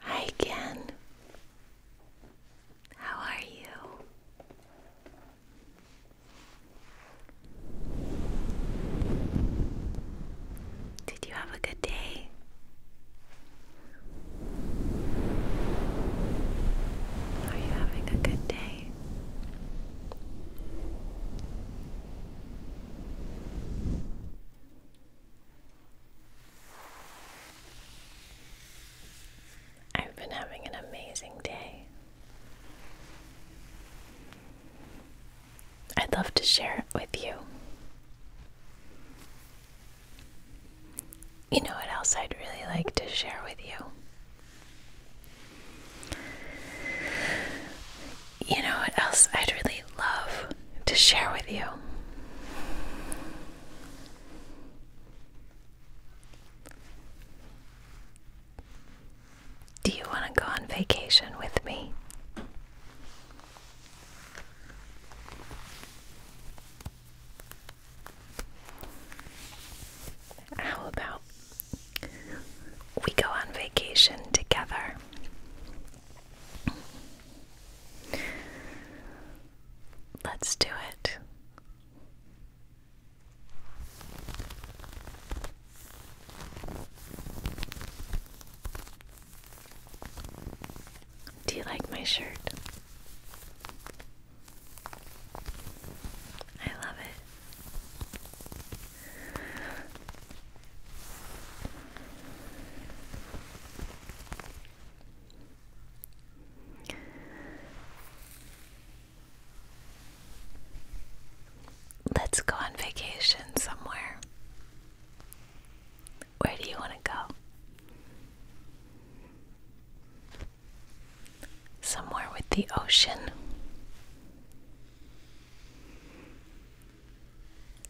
Hi Ken. How are you? Did you have a good day? Are you having a good day? I've been having an amazing day. I'd love to share it with you. You know what else I'd really like to share with you? You know what else I'd really love to share with you. Do you want to go on vacation with me? How about we go on vacation together? Let's do it. Do you like my shirt? I love it. Let's go on vacation somewhere. Where do you want to go? Somewhere with the ocean.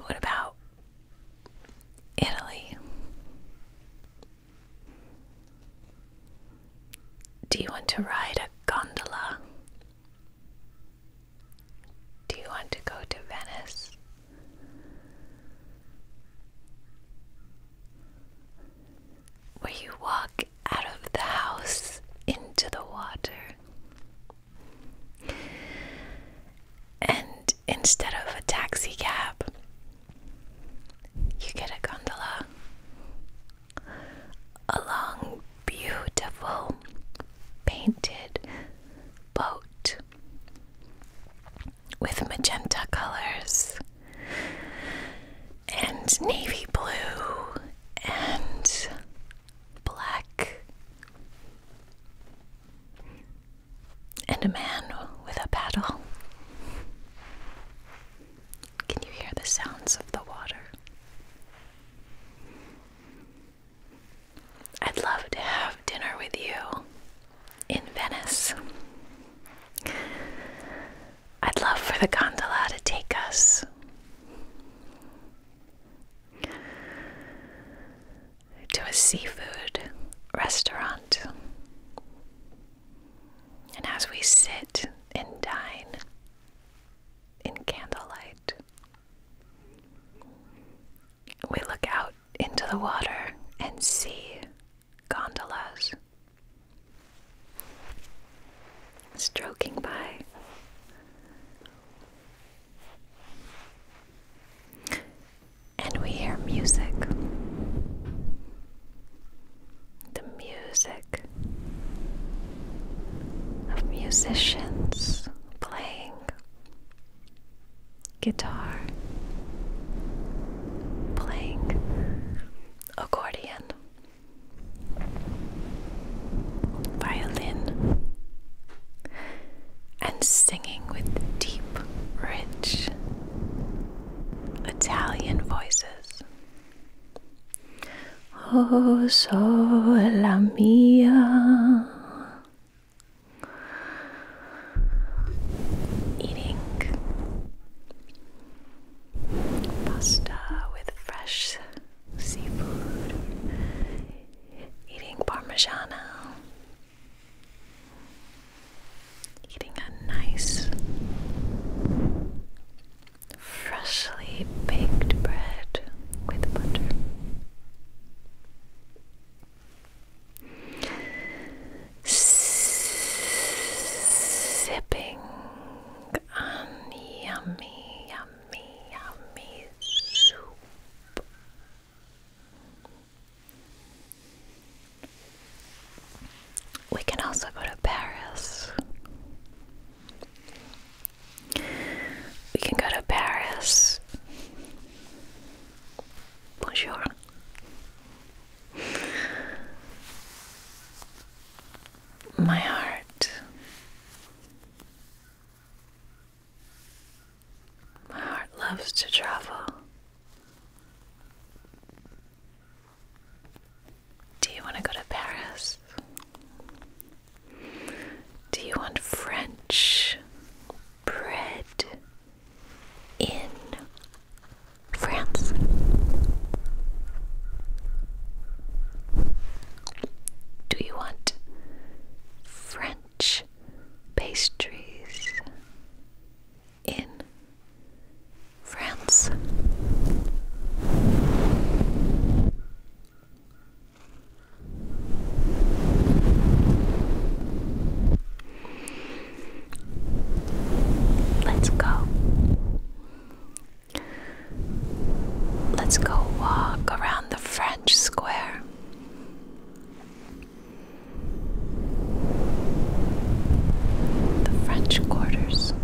What about Italy? Do you want to ride a gondola? Do you want to go to Venice? Where you walk out of the house into the water. And instead of a taxi cab, you get a gondola a long, beautiful painted boat with magenta colors and navy blue and black and a man with a paddle. Can you hear the sounds of the water? I'd love to have dinner with you in Venice. I'd love for the gondola to take us to a seafood restaurant. And as we sit and dine in candlelight, we look out into the water and see gondolas stroking by. And we hear music. The music of musicians playing guitar, playing accordion, violin, and singing with deep, rich Italian voices. Oh, sola mia. Eating pasta with fresh seafood eating Parmigiano, eating a nice, freshly baked bread with butter. Sipping on yummy, yummy, yummy soup we can also go to Paris. We can go to Paris. Bonjour. My heart. My heart loves to travel. Do you want to go to Paris? Do you want French bread in France? Do you want French pastries in France. Let's go. Let's go walk around the French square. The French quarters.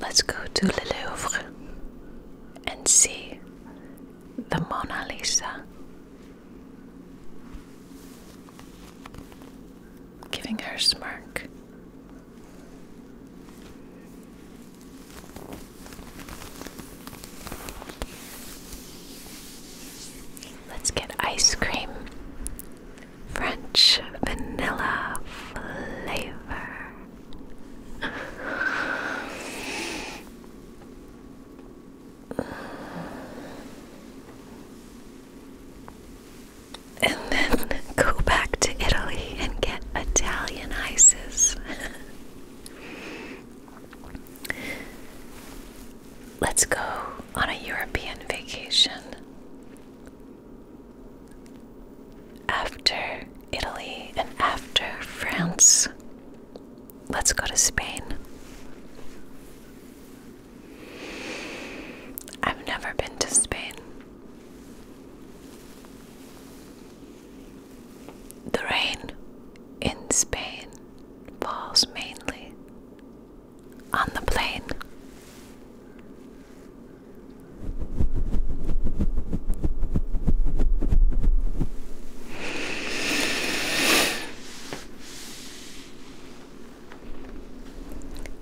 Let's go to Le Louvre and see the Mona Lisa. Giving her smirk. Let's get ice cream. French vanilla flavor. and then go back to Italy and get Italian ices. Let's go on a European vacation. After Italy and after France, let's go to Spain. I've never been to Spain. The rain in Spain falls mainly on the plain.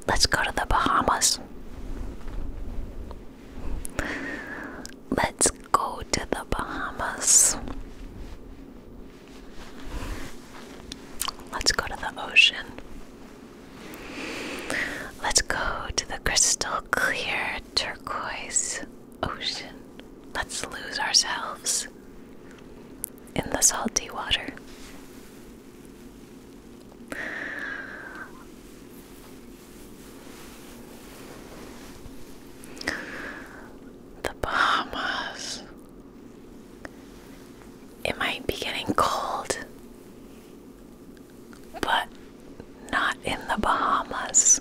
Let's go to the Bahamas. Let's go to the Bahamas. Let's go to the ocean. Let's go to the crystal clear turquoise ocean. Let's lose ourselves in the salty water. The Bahamas. It might be getting cold, but not in the Bahamas.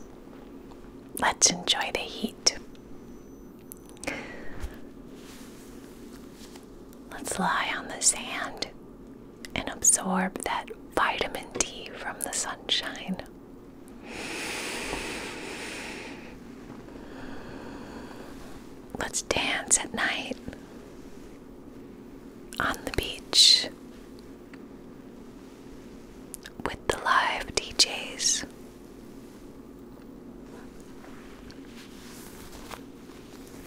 Let's enjoy the heat. Let's lie on the sand and absorb that vitamin D from the sunshine. Let's dance at night on the beach with the live DJs.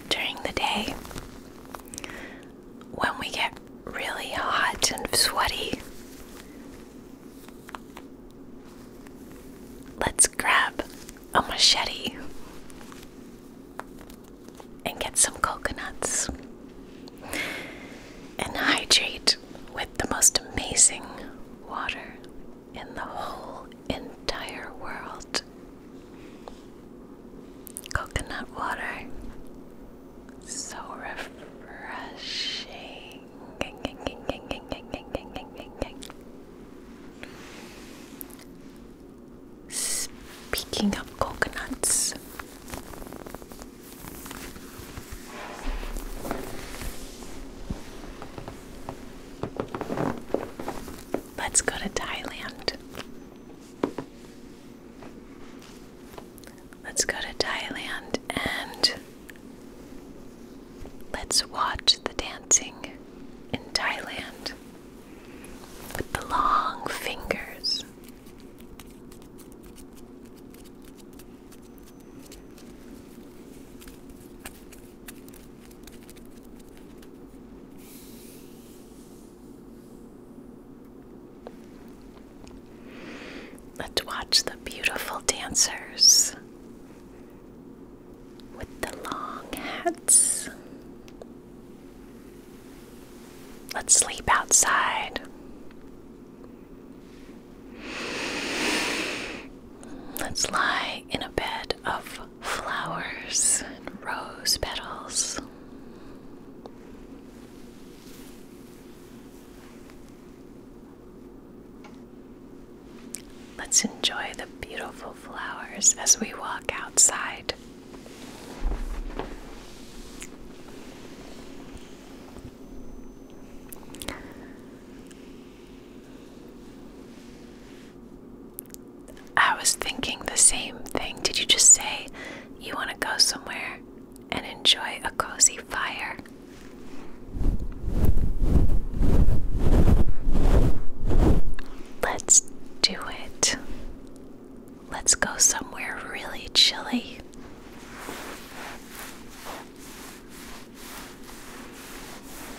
During the day, when we get really hot and sweaty, let's grab a machete and get some coconuts and hydrate with the most amazing water in the whole entire world. Coconut water so refreshing. Speaking of coconuts, let's go to Thailand. Let's go to Thailand and let's watch the dancing in Thailand with the long fingers. Let's watch the beautiful dancers with the long hats. Let's sleep outside. Let's lie in a bed of flowers and rose petals. Let's enjoy the beautiful flowers as we walk outside. I was thinking the same thing. Did you just say you want to go somewhere and enjoy a cozy fire. Let's do it. Let's go somewhere really chilly.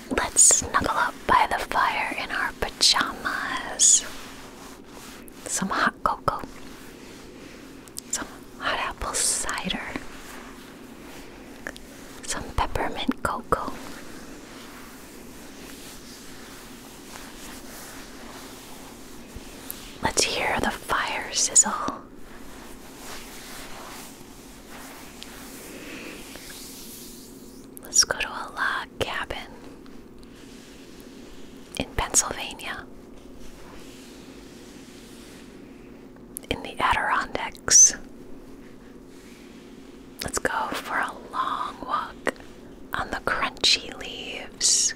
Let's snuggle up by the fire in our pajamas. Some cocoa, some hot apple cider, some peppermint cocoa. Let's hear the fire sizzle. Let's go to a log cabin in Pennsylvania, in the Adirondacks. Let's go for a long walk on the crunchy leaves.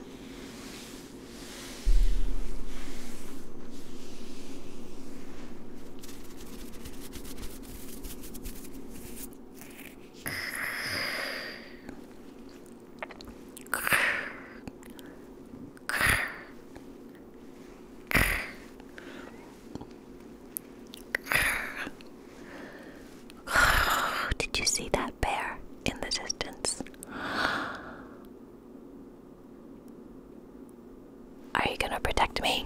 Oh, did you see that bear in the distance? Are you going to protect me?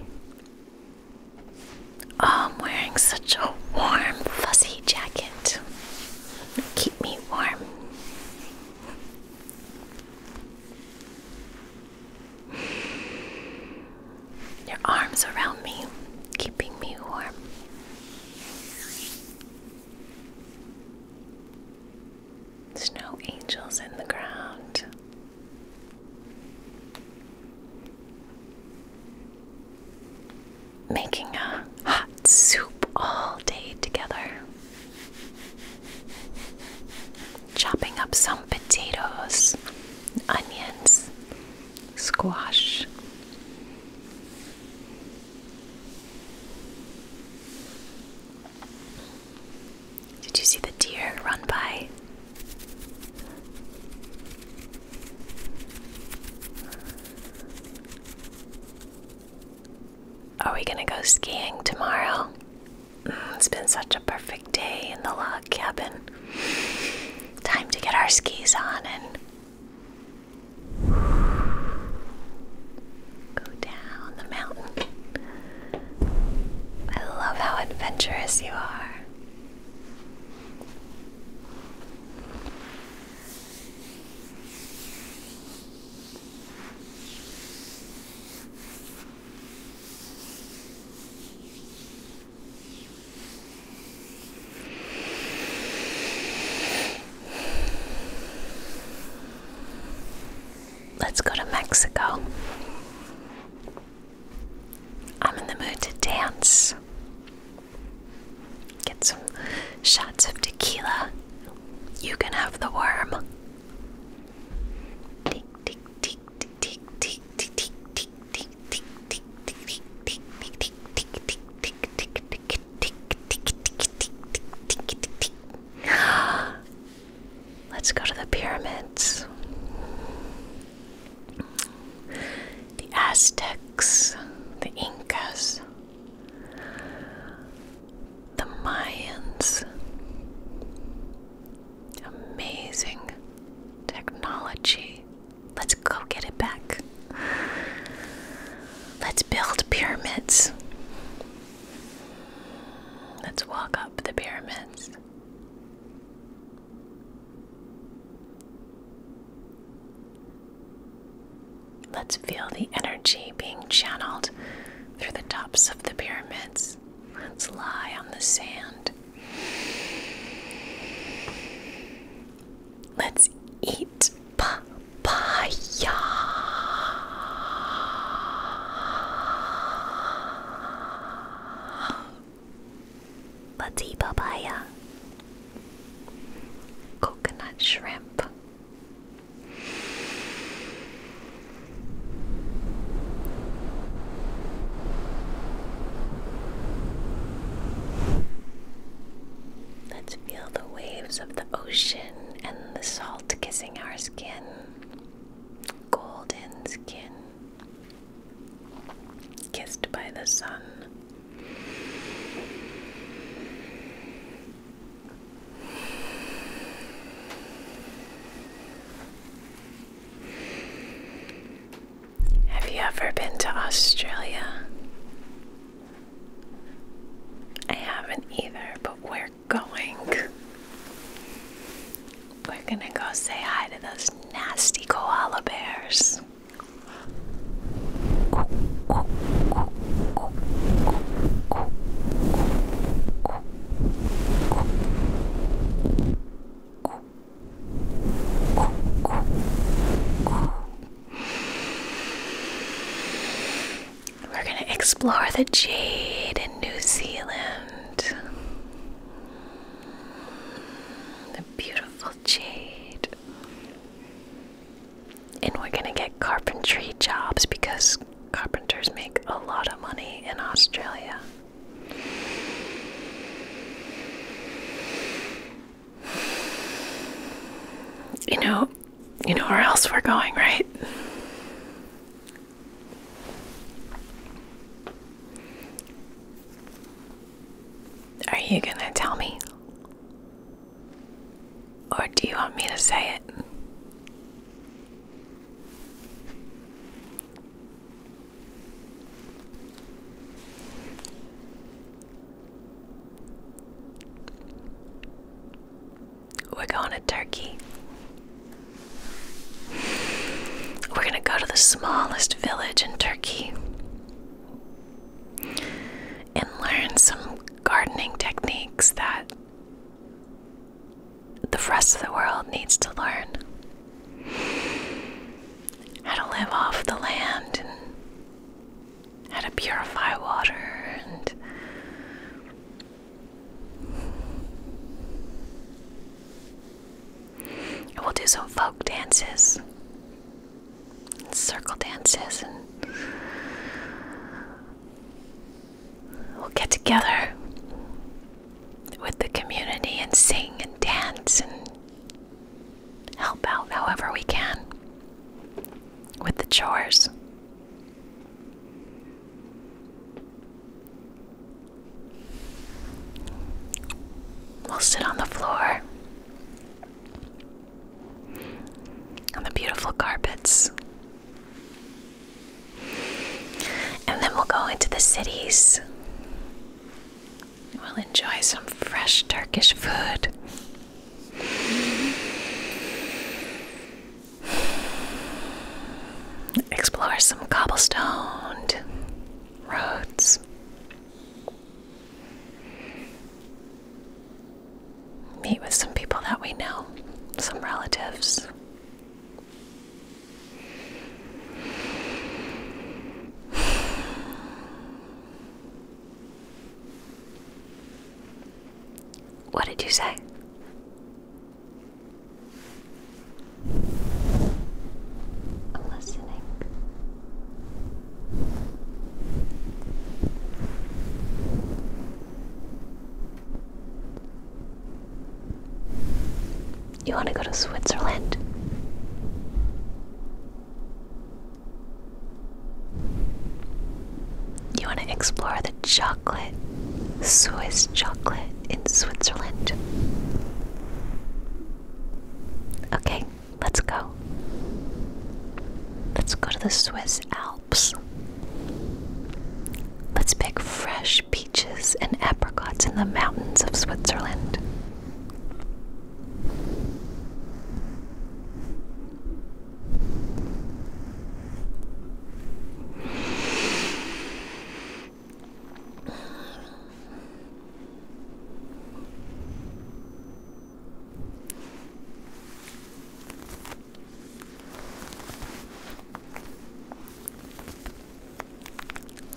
Oh, I'm wearing such a warm, fuzzy jacket keep me warm. Your arms around me, keeping me warm. Snow angels in the ground making a hot soup all day together. Chopping up some potatoes, onions, squash. Did you see the deer run by? Are we gonna go skiing tomorrow? Mm, it's been such a perfect day in the log cabin. Time to get our skis on and go down the mountain. I love how adventurous you are. Let's go to Mexico. I'm in the mood to dance. Get some shots of tequila. You can have the worm. Tick, tick, tick, tick, tick, tick, tick, tick, tick, tick, tick, tick, tick, tick, tick, tick, tick, tick, tick, Let's go to the pyramids the Aztecs, the Incas, the Mayans. Amazing technology. Let's go get it back. Let's build pyramids. Let's walk up the pyramids. Let's feel the energy being channeled through the tops of the pyramids. Let's lie on the sand. Let's eat papaya. Let's eat papaya. Coconut shrimp. Let's feel the waves of the ocean and the salt kissing our skin. Golden skin. Kissed by the sun. Have you ever been to Australia? I haven't either, but we're going. We're gonna go say hi to those nasty koala bears. We're going to explore the jade in New Zealand. The beautiful jade. And we're going to get carpentry jobs because carpenters make a lot of money in Australia. You know, you know where else we're going, right? Are you gonna tell me? Or do you want me to say it? We're going to Turkey. We're gonna go to the smallest village in Turkey and learn some gardening techniques that the rest of the world needs to learn how to live off the land and how to purify water and we'll do some folk dances circle dances and we'll get together with the community and sing and dance and help out however we can with the chores. We'll sit on the floor and the beautiful carpets. And then we'll go into the cities. We'll enjoy some fresh Turkish food. Explore some cobblestoned roads. Meet with some people that we know, some relatives. What did you say? I'm listening. You want to go to Switzerland? You want to explore the chocolate, Swiss chocolate in Switzerland? Okay, Let's go. Let's go to the Swiss Alps. Let's pick fresh peaches and apricots in the mountains of Switzerland.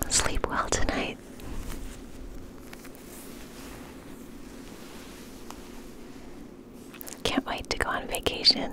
Sleep well tonight. Can't wait to go on vacation.